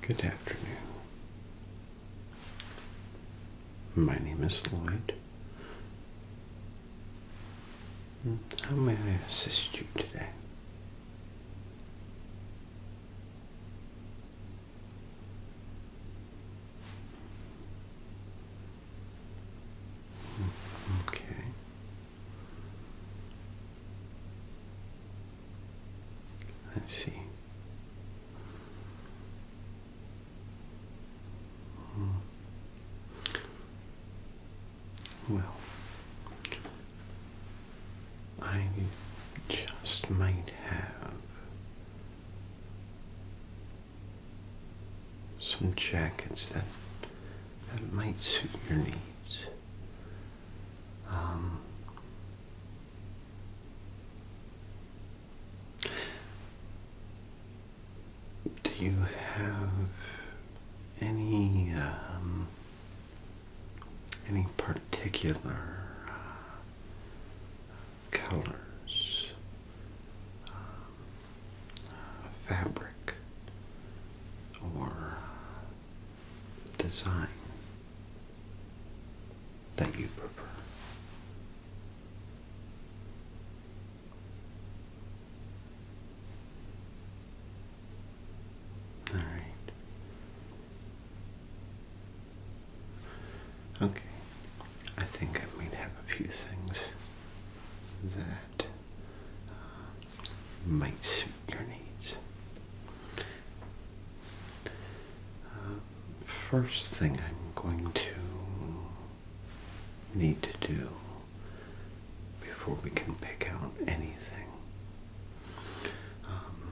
Good afternoon. My name is Lloyd. How may I assist you today? Mm, okay. Let's see. Well, I just might have some jackets that that might suit your needs. Um, do you have any um, any particular uh, colors, um, uh, fabric, or uh, design that you prefer. All right. Okay. I think I might have a few things that uh, might your needs. Uh, first thing I'm going to need to do before we can pick out anything. Um,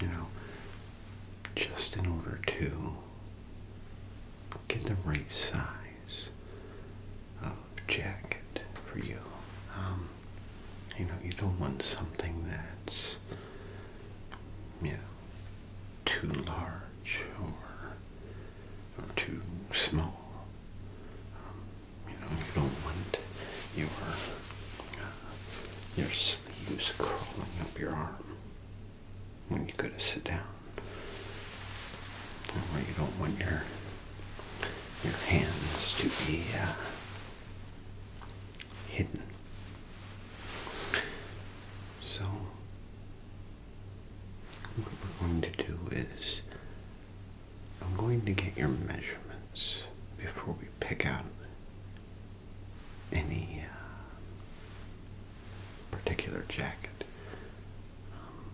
you know, just in order to get the right size jacket for you. Um, you know, you don't want something that's, you know, too large or, or too small. Um, you know, you don't want your uh, your sleeves crawling up your arm when you go to sit down, or you don't want your your hands to be uh, hidden. So, what we're going to do is, I'm going to get your measurements before we pick out any uh, particular jacket. Um,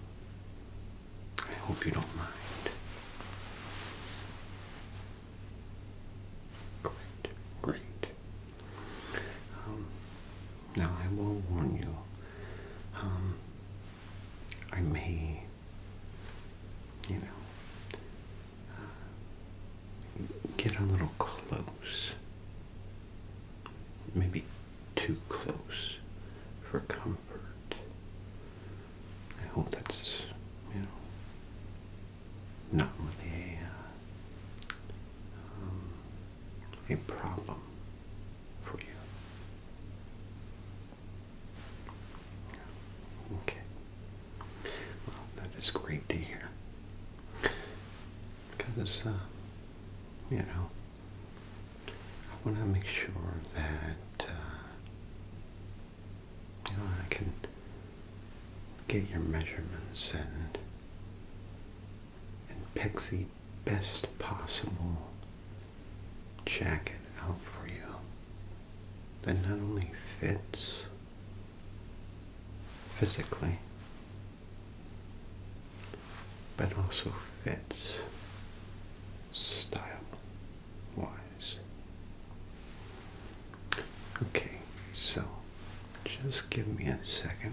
I hope you don't mind. Great, great. Um, now I will warn you. Um, I may, you know, uh, get a little close. Maybe too close for comfort. I hope that's, you know, not really a, uh, um, a problem for you. Okay. Well, that is great to hear. Because, uh, you know, I want to make sure that uh, you know, I can get your measurements and and pick the best possible jacket out for you that not only fits physically but also fits style wise. Okay, so just give me a second.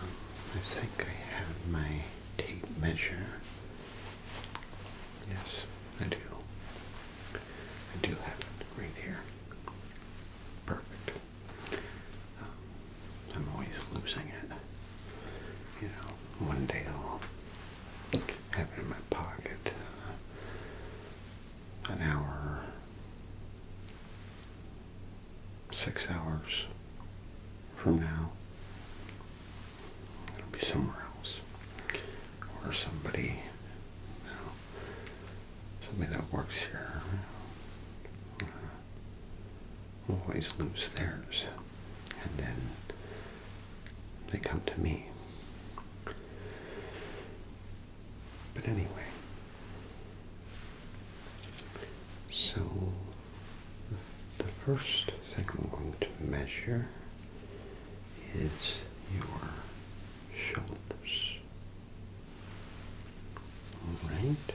Um, I think I have my tape measure. Yes, I do. I do have it right here. Perfect. Um, I'm always losing it. You know, one day I'll have it in my pocket uh, an hour, six hours from now. It'll be somewhere else. Or somebody, somebody that works here. Uh, always lose theirs and then they come to me. But anyway, so the first thing I'm going to measure is your shoulders. All right.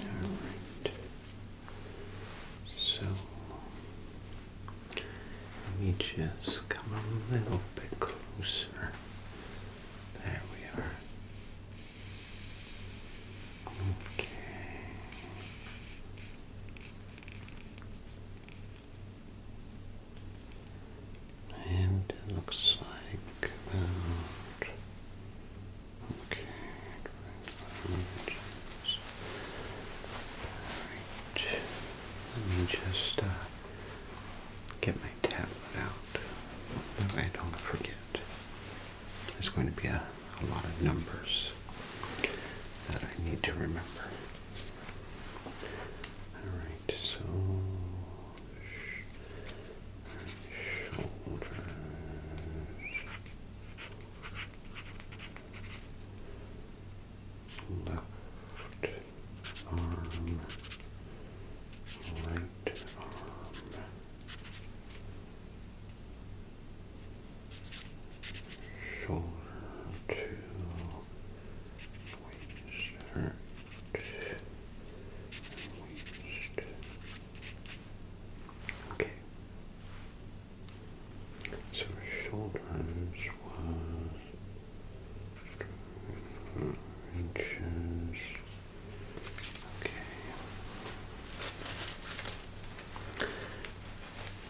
Alright. So let me just come a little bit closer. There we are. Okay. And it looks like Okay, Let me just uh, get my tablet out. That way I don't forget. There's going to be a, a lot of numbers that I need to remember. Alright, so shoulders. Left arm, right arm, shoulder to waist, waist, Okay. So shoulders was inches. Okay.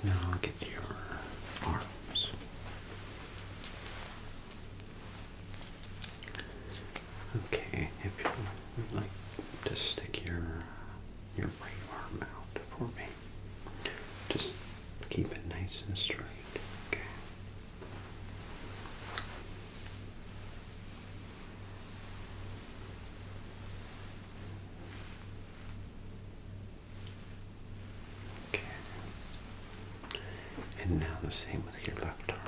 Now I'll get your arms. Okay, if you would like to stick your your right arm out for me, just keep it nice and straight. Okay. Okay. And now the same with your left arm.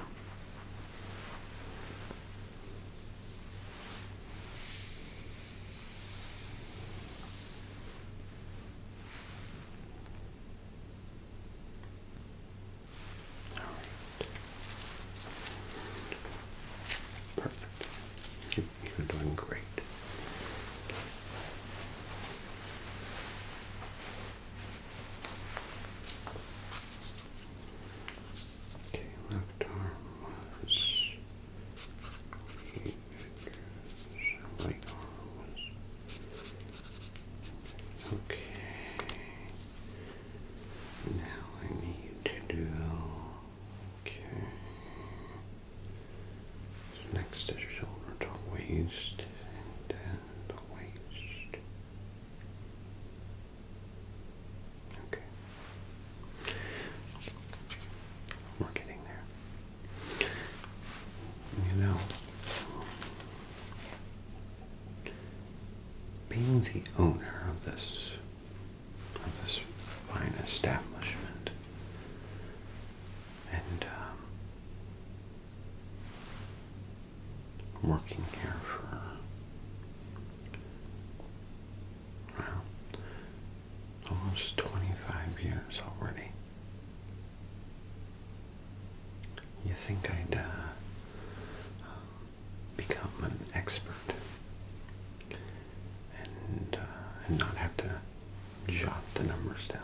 All right. Perfect. You're, you great. Okay, left arm was right arm okay. Now I need to do okay. next is shoulder to waist and then the waist. Okay. We're getting there. You know, being the owner of this of this fine establishment and um, working here for Wow. Almost 25 years already. You think I'd uh, um, become an expert and, uh, and not have to jot the numbers down?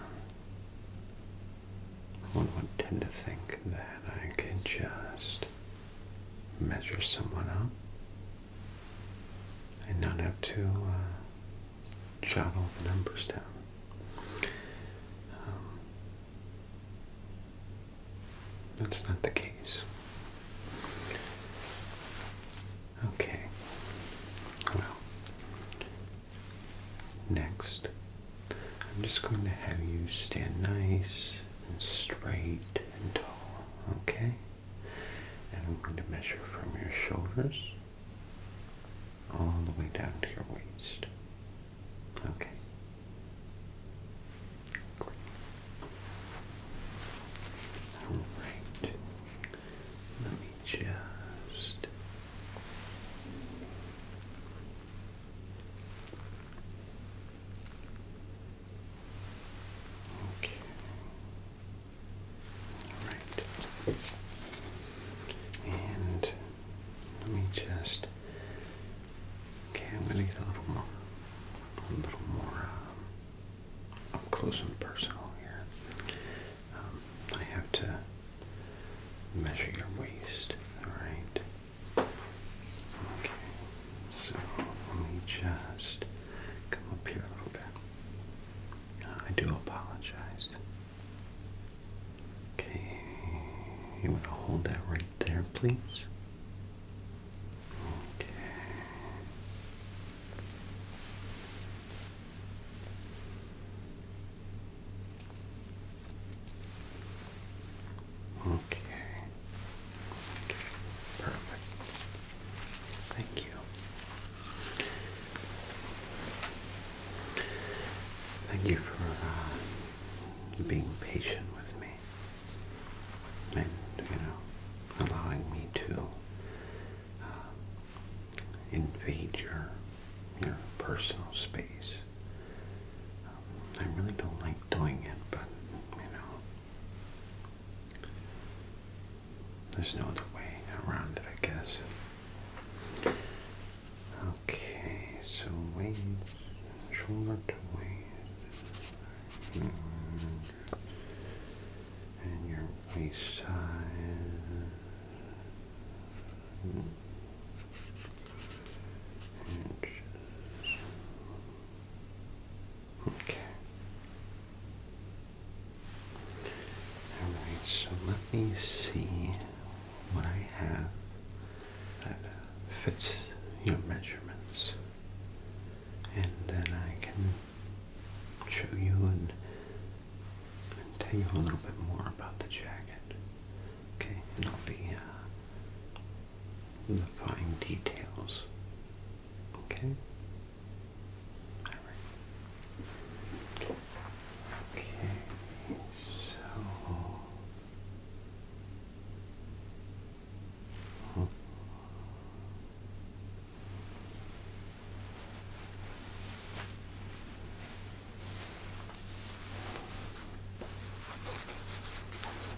One would tend to think that I could just measure someone up and not have to uh, jot all the numbers down. Um, that's not the case. Okay. Well, next, I'm just going to have you stand nice and straight and tall. Okay? And I'm going to measure from your shoulders all the way down to your waist. Okay? Alright. Let me just. Okay. All right. And let me just. Okay, I'm going to get a little more, a little more um, up close and personal here. Um, I have to measure your waist. All right. Okay, so let me just come up here a little bit. Uh, I do apologize. Okay, you want to hold that right there, please? Okay. Okay. Perfect. Thank you. Thank you for uh, being patient with me and, you know, allowing me to uh, invade your, your personal space. Um, I really don't like doing it, but, you know, there's no other way around it, I guess. Okay, so wings, short wings, and your waist size. Inches. Okay. Alright, so let me see what I have that uh, fits your measurements. And then I can show you and, tell you a little bit more about the jacket. Okay, and I'll be uh, the fine details. Okay? Okay, so.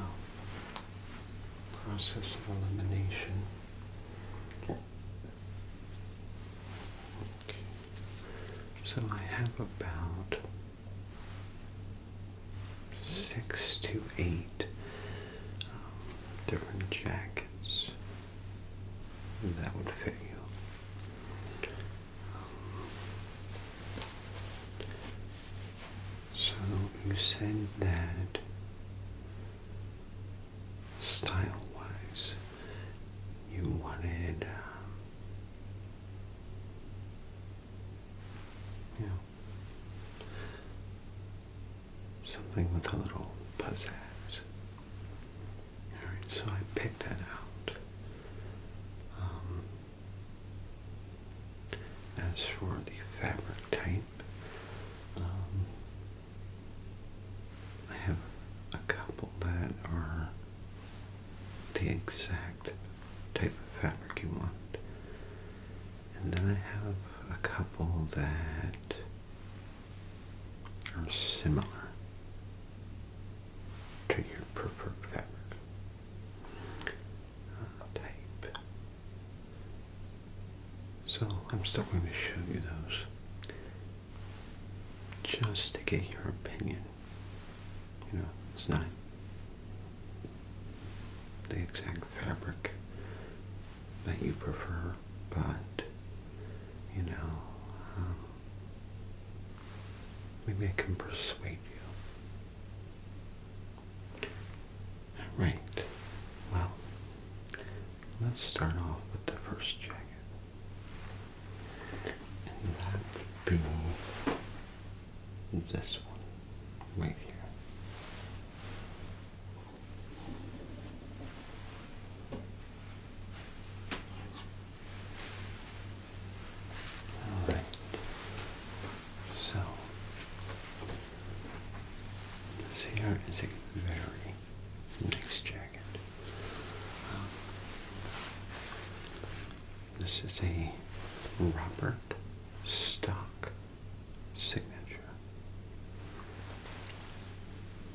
All right. process of elimination. Okay. So I have about six to eight different jackets that would fit you. so you said that style-wise, you wanted. Um, yeah something with a little pizzazz. Alright, so I picked that out. Um, as for the fabric type, um, I have a couple that are the exact type of fabric you want. And then I have a couple that are similar to your preferred fabric uh, type. So I'm still going to show you those just to get your opinion. You know, it's not the exact fabric that you prefer, but you know, um, maybe I can persuade you. Right. Well, let's start off with the first jacket. And that would be this one right here. All right. So this here is a very nice jacket. Um, this is a Robert Stock signature.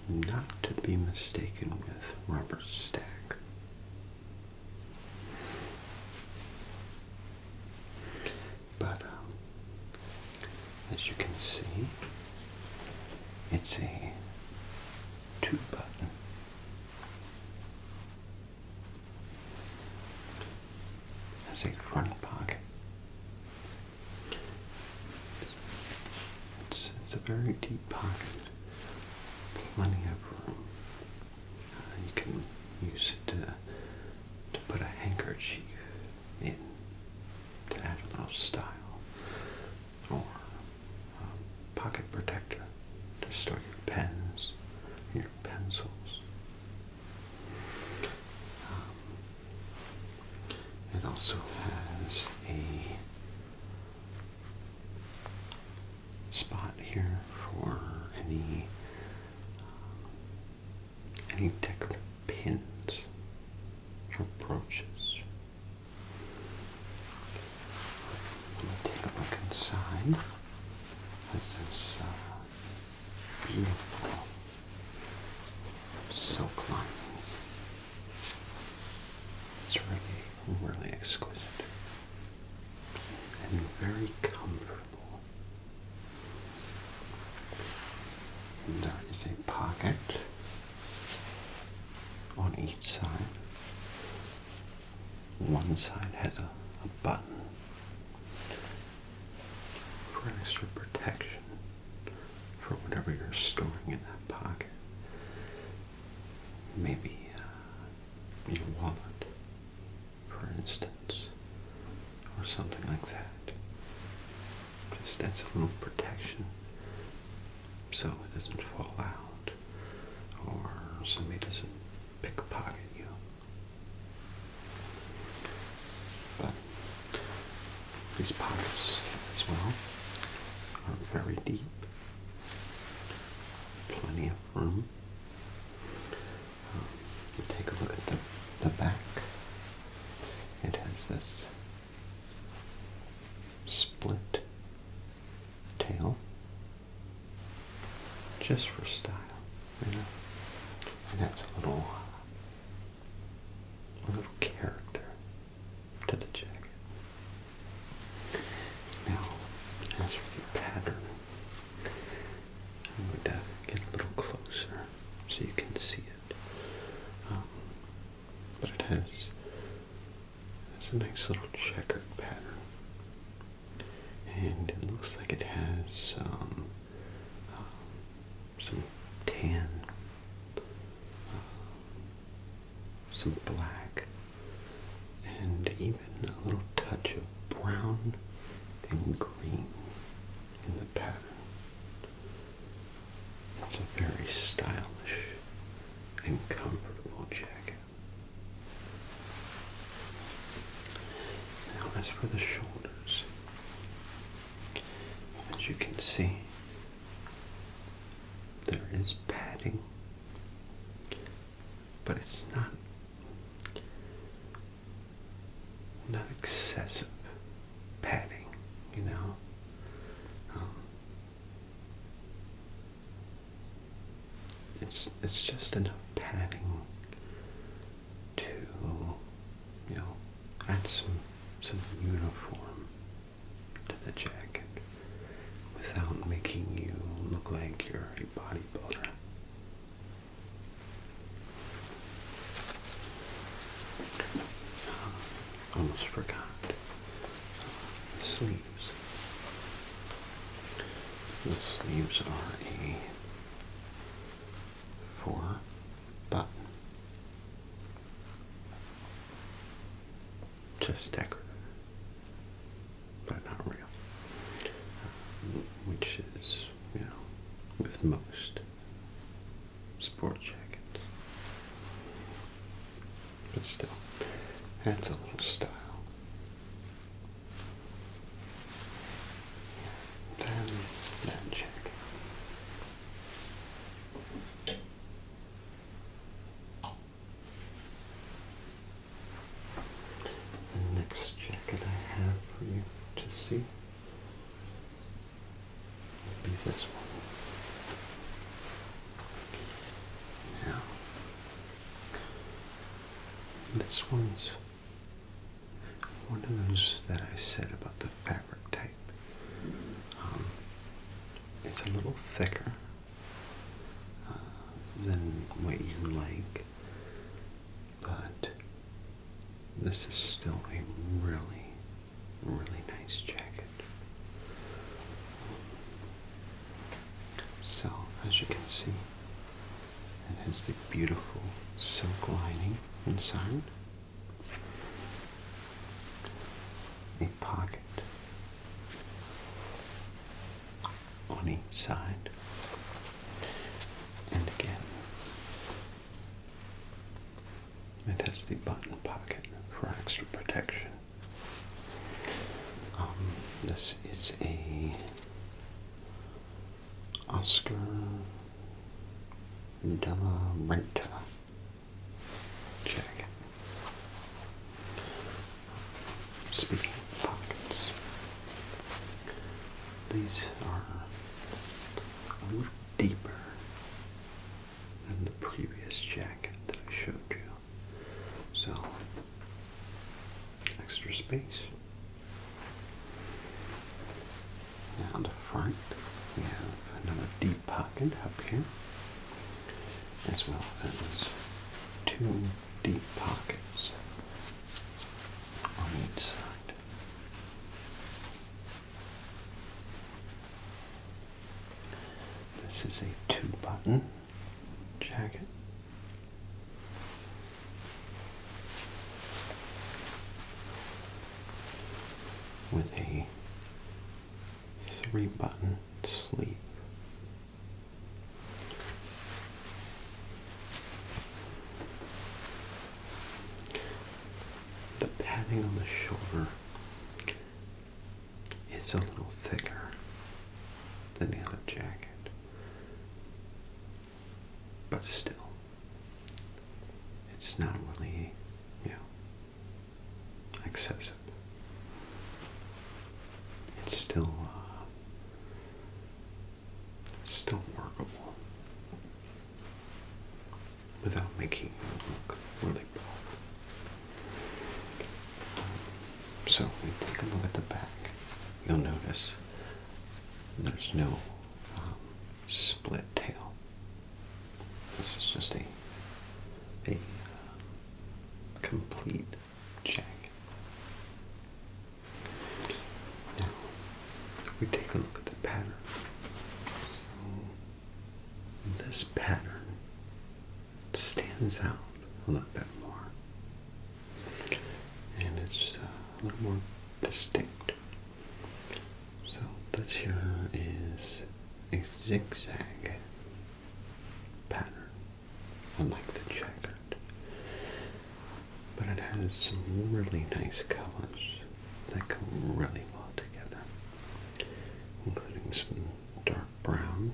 Not to be mistaken with Robert Stack. But um, as you can see, it's a two button. Has a front pocket it's, it's a very deep pocket, plenty of room. Uh, you can use it to, to put a handkerchief in to add a little style, or pocket protector to store your pens, your pencils. Um, it also has a spot here for any uh, any decorative pins or brooches. Let me take a look inside. This is uh, beautiful so lining. It's really, really exquisite and very comfortable. And there is a pocket on each side. One side has a button for extra protection for whatever you're storing in that pocket. Maybe uh, your wallet, for instance, or something like that. Just that's a little protection so it doesn't fall out or somebody doesn't pickpocket you. But these pockets as well are very deep. Plenty of room. Um, take a look at the, the back. It has this split tail just for style, you know. And that's a little a little character to the jacket. Now, as for the pattern, I'm going to get a little closer so you can see it. Um, but it has it's a nice little checkered pattern. And it looks like it has some um, some tan, uh, some black, and even a little touch of brown and green in the pattern. It's a very stylish and comfortable jacket. Now, as for the shoulders, as you can see, there is padding, but it's not not excessive padding, you know. Um, it's it's just enough padding to you know, add some some uniform to the jacket without making you look like you're a bodybuilder. Uh, almost forgot the sleeves. The sleeves are a four button just decorative, but not real, which is, you know, with most sport jackets. But still, that's a little style. That is that the next jacket I have for you to see will be this one. Now, this one's one of those that I said about the fabric type. Um, it's a little thicker uh, than what you like, but this is still a really, really nice jacket. So, as you can see, it has the beautiful silk lining inside a pocket on each side, and again, it has the button pocket for extra protection. Um, this is a Oscar Della Renta Check Speaking of pockets, these are a little deeper than the previous jacket that I showed you. So, extra space. And front, we have another deep pocket up here, as well as two deep pockets on each side. This is a two button jacket. With a three button sleeve. The padding on the shoulder is a little thicker than the other jacket, but still, it's not really, you know, excessive. It's still, uh, it's still workable without making you look really bad. Um, so we take a look at the back. You'll notice there's no um, split tail this is just a, a uh, complete check. Now, we take a look at the pattern. this pattern stands out a little bit more. And it's uh, a little more distinct. So this here is a zigzag pattern, unlike the checkered, but it has some really nice colors that go really well together, including some dark brown,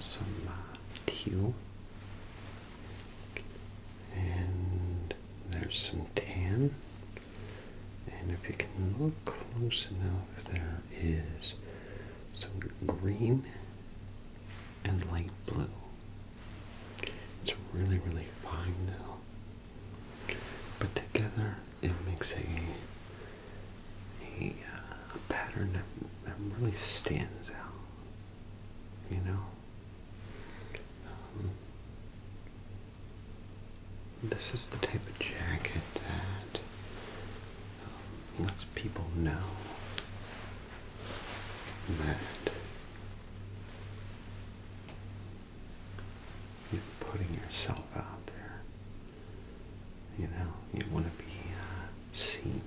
some uh, teal, and there's some tan. And if you can look close enough, there is some green and light blue. It's really, really fine now. But together, it makes a, a, uh, a pattern that, that really stands out. You know? Um, this is the type of jacket that um, lets people know that you're putting yourself out there. You know, you want to be uh, seen,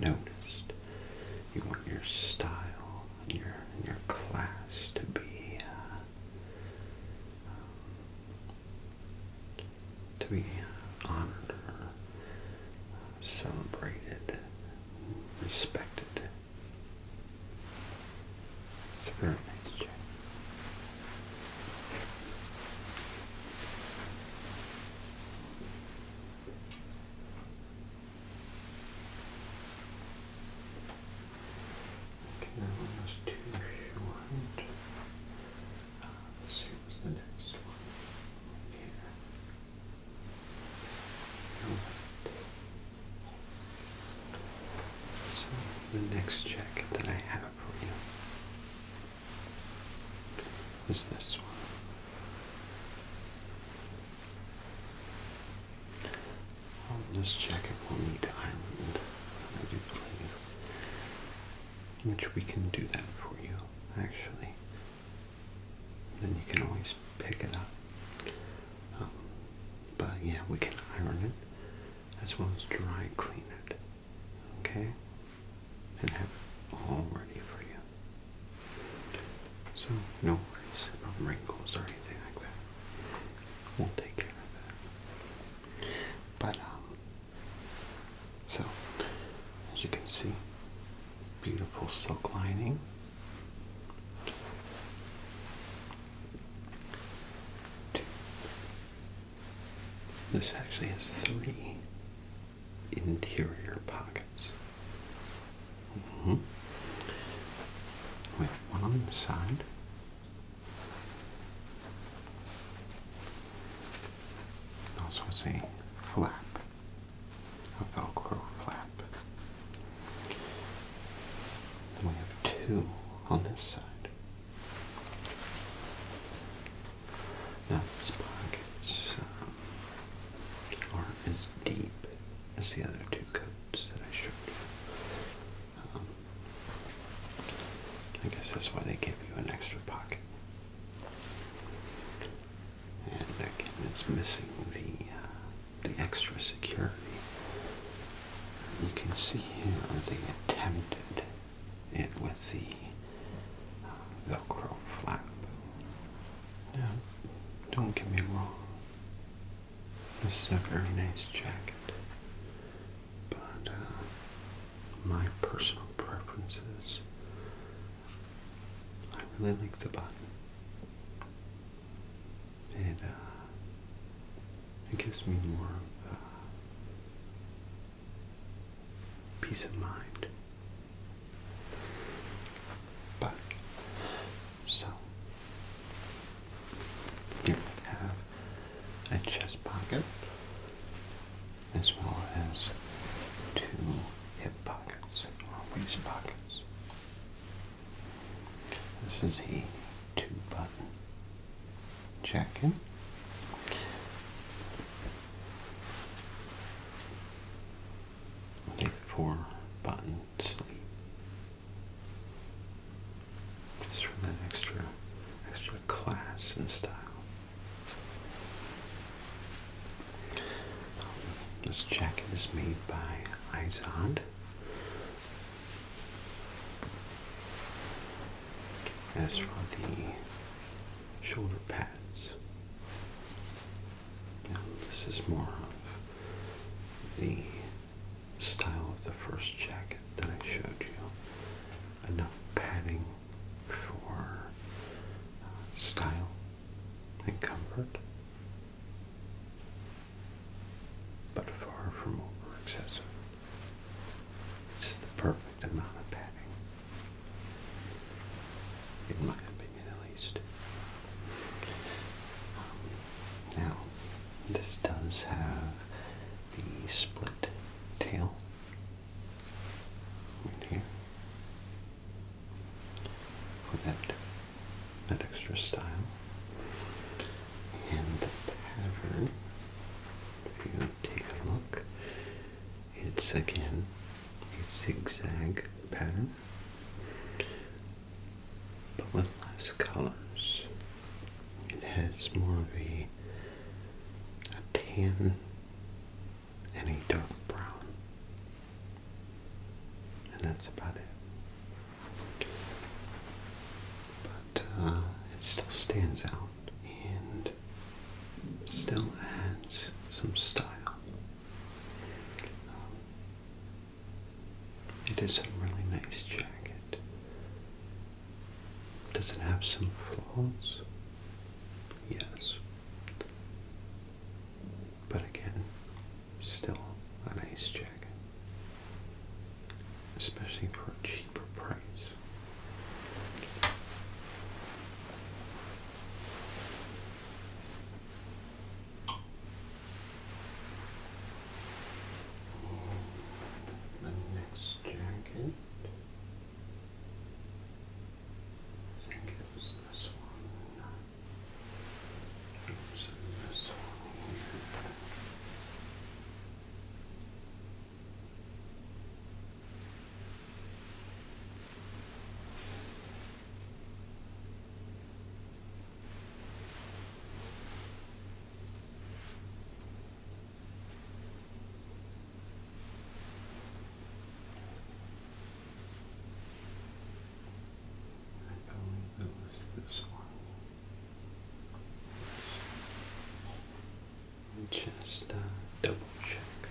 noticed. You want your style, your your class to be uh, um, to be honored or uh, celebrated, respected. It's a very nice check. Okay, that one was too short. Uh, let's see what's the next one here. So, the next jacket that I have for you is this one. This jacket will need ironing. I do believe, which we can do that for you, actually. Then you can always pick it up. Um, but yeah, we can iron it as well as dry clean it, okay? And have it all ready for you. So no worries about wrinkles or anything like that we'll take care of that. But um, so as you can see, beautiful silk lining. This actually has three interior pockets. Mm one on the side, also is a flap, a velcro flap. And we have two on this side. Now these pockets um, aren't as deep as the other two coats that I showed you. Um, I guess that's why they give you an extra pocket. And again, it's missing the uh, the extra security. You can see here uh, they attempted it with the uh, Velcro flap. Now, don't get me wrong. This is a very nice jacket but uh, my personal preference is I really like the button. It, uh, it gives me more of uh, peace of mind. But, so, here have a chest pocket as well as two hip pockets or waist pockets. This is a two-button jacket. A four-button just for that extra, extra class and style. this jacket is made by Izod. As for the shoulder pads, now this is more of the style of the first jacket that I showed you. Enough padding for uh, style and comfort, but far from over excessive. It's the perfect amount of padding, in my opinion at least. Um, now, this does have the split tail right here for that, that extra style. And the pattern, if you take a look, it's again a zigzag pattern, but with less colors. It has more of a a, tan and a dark brown. And that's about it. But uh, it still stands out and still adds some style. Um, it is a really nice jacket. Does it have some flaws? Yes. But again, still an nice jacket. Especially for a cheaper price for my next jacket. I think it this one. It was this one here. I believe it was this one. let just uh, double check the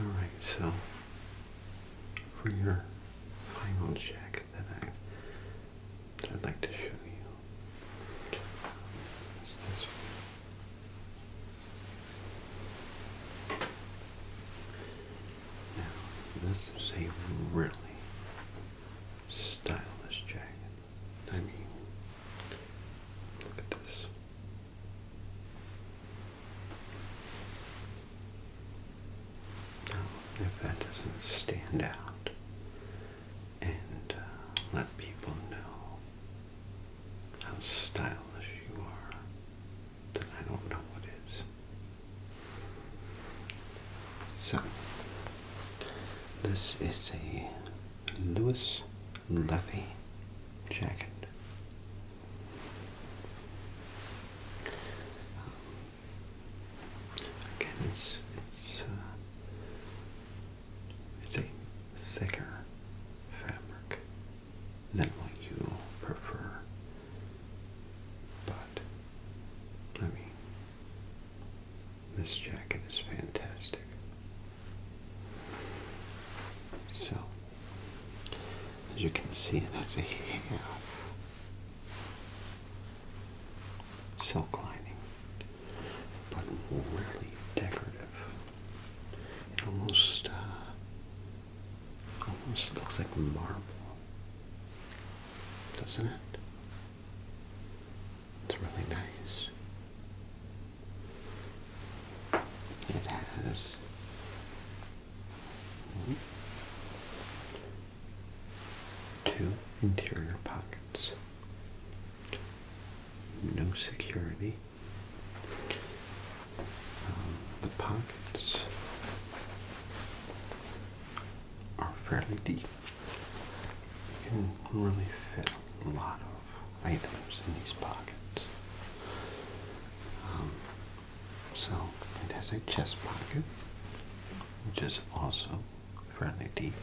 Alright, so for your final check that I would like to show you this is a really stylish jacket. I mean, look at this. Now, if that doesn't stand out and uh, let people know how stylish you are, then I don't know what is. So, this is a Louis Levy jacket. Um, again, it's it's uh, it's a thicker fabric than what you prefer, but I mean, this jacket is fantastic. So, as you can see, it has a half silk lining, but really decorative. It almost, uh, almost looks like marble, doesn't it? It's really nice. It has two interior pockets. No security. Um, the pockets are fairly deep. You can really fit a lot of items in these pockets. Um, so it has a chest pocket, which is also fairly deep.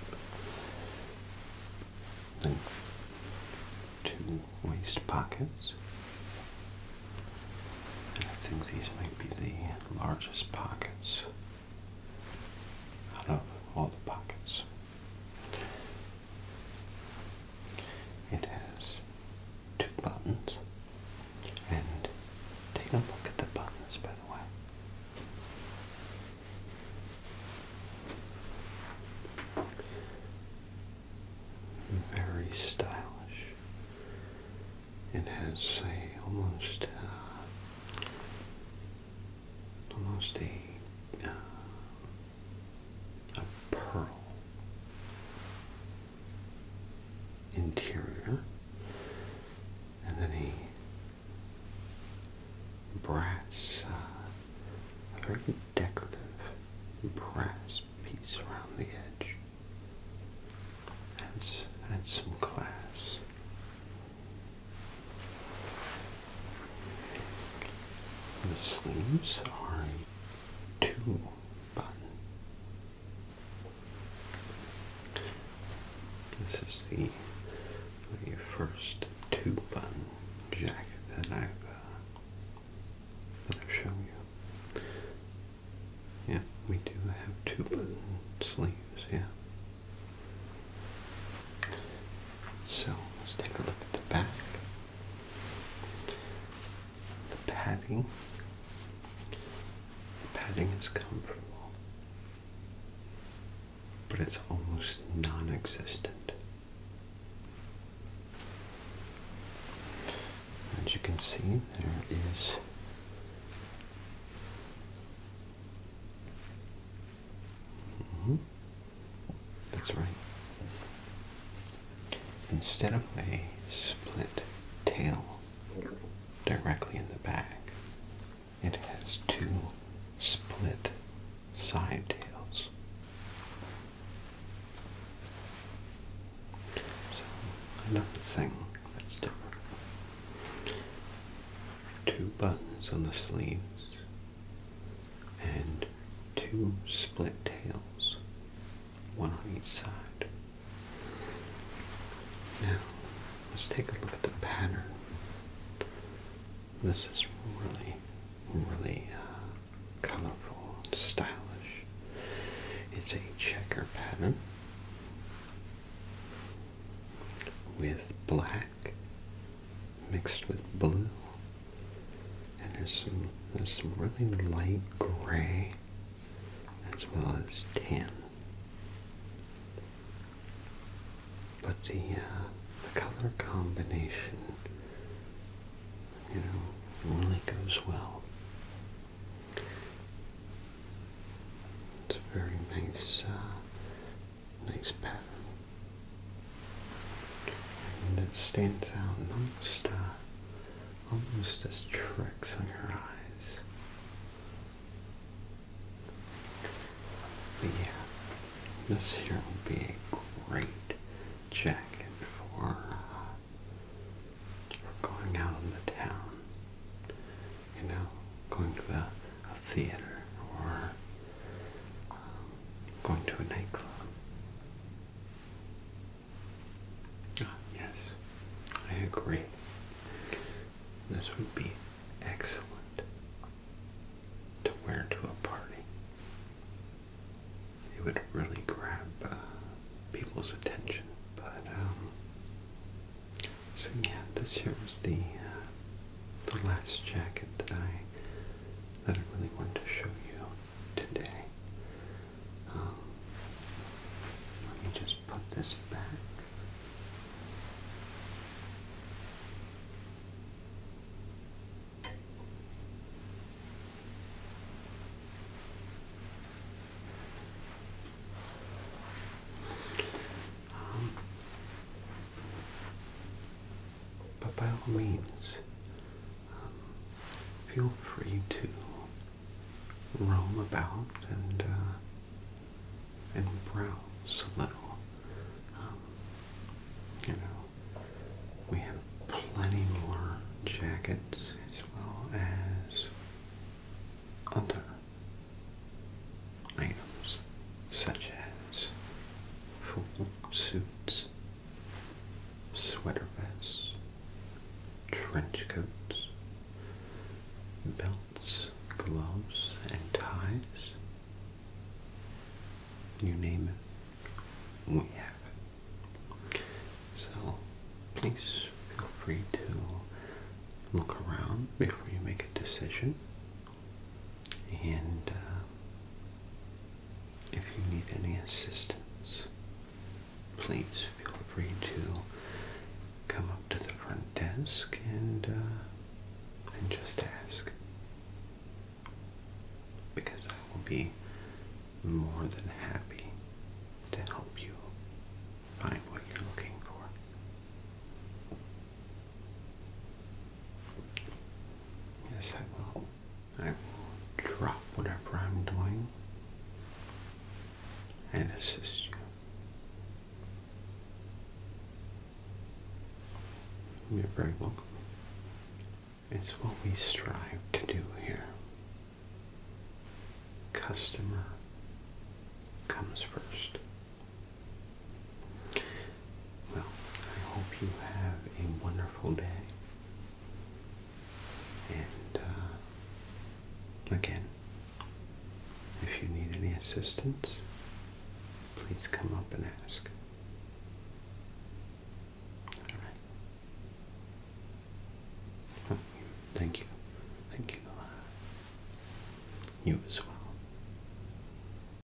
Then two waist pockets. And I think these might be the largest pockets I love all the pockets. It has two buttons, and take a look at the buttons, by the way. Very stylish. It has a almost uh, almost a, uh, a pearl interior, and then a brass, uh, very decorative brass piece around the edge. Adds, adds some class. The sleeves are a two button. This is the, the first two button jacket that I've, uh, that I've shown you. Yeah, we do have two button sleeves, yeah. So let's take a look at the back. The padding. The padding is comfortable, but it's almost non existent. As you can see, there is Mm-hmm. That's right. Instead of a split tail directly in the back, it has two split side tails. So another thing that's different two buttons on the sleeves, and two split tails, one on each side. Now, let's take a look at the pattern. This is really, really uh, colorful and stylish. It's a checker pattern with black mixed with blue. And there's some there's some really light gray as well as tan. But the uh, the color combination, you know, only goes well. It's very nice uh, nice pattern. And it stands out and uh, almost, as tricks on your eyes. But yeah, this here will be a great jacket for, uh, for going out in the town. You know, going to a, a theater or um, Going to a nightclub. Ah, yes, I agree. This would be excellent to wear to a party. It would really grab uh, people's attention. But, um, so yeah, this here was the uh, the last jacket that I that I really wanted to show you today. Um, let me just put this back. Um, but by all means, um, feel free to roam about and uh, and browse a little. Um, you know, we have plenty more jackets as well as other items such as full suits, sweater vests, trench coats, belts, gloves, and ties. You name it, we have it. So please feel free to look around before you make a decision. And uh, if you need any assistance, please feel free to come up to the front desk and uh, and just ask, because I will be more than happy to help you find what you're looking for. Yes, I will. I will drop whatever I'm doing and assist you. You're very welcome. It's what we strive to do here. Customer comes first. Well, I hope you have a wonderful day. And uh, again, if you need any assistance, please come up and ask. All right. Oh, thank you. Thank you. You as well.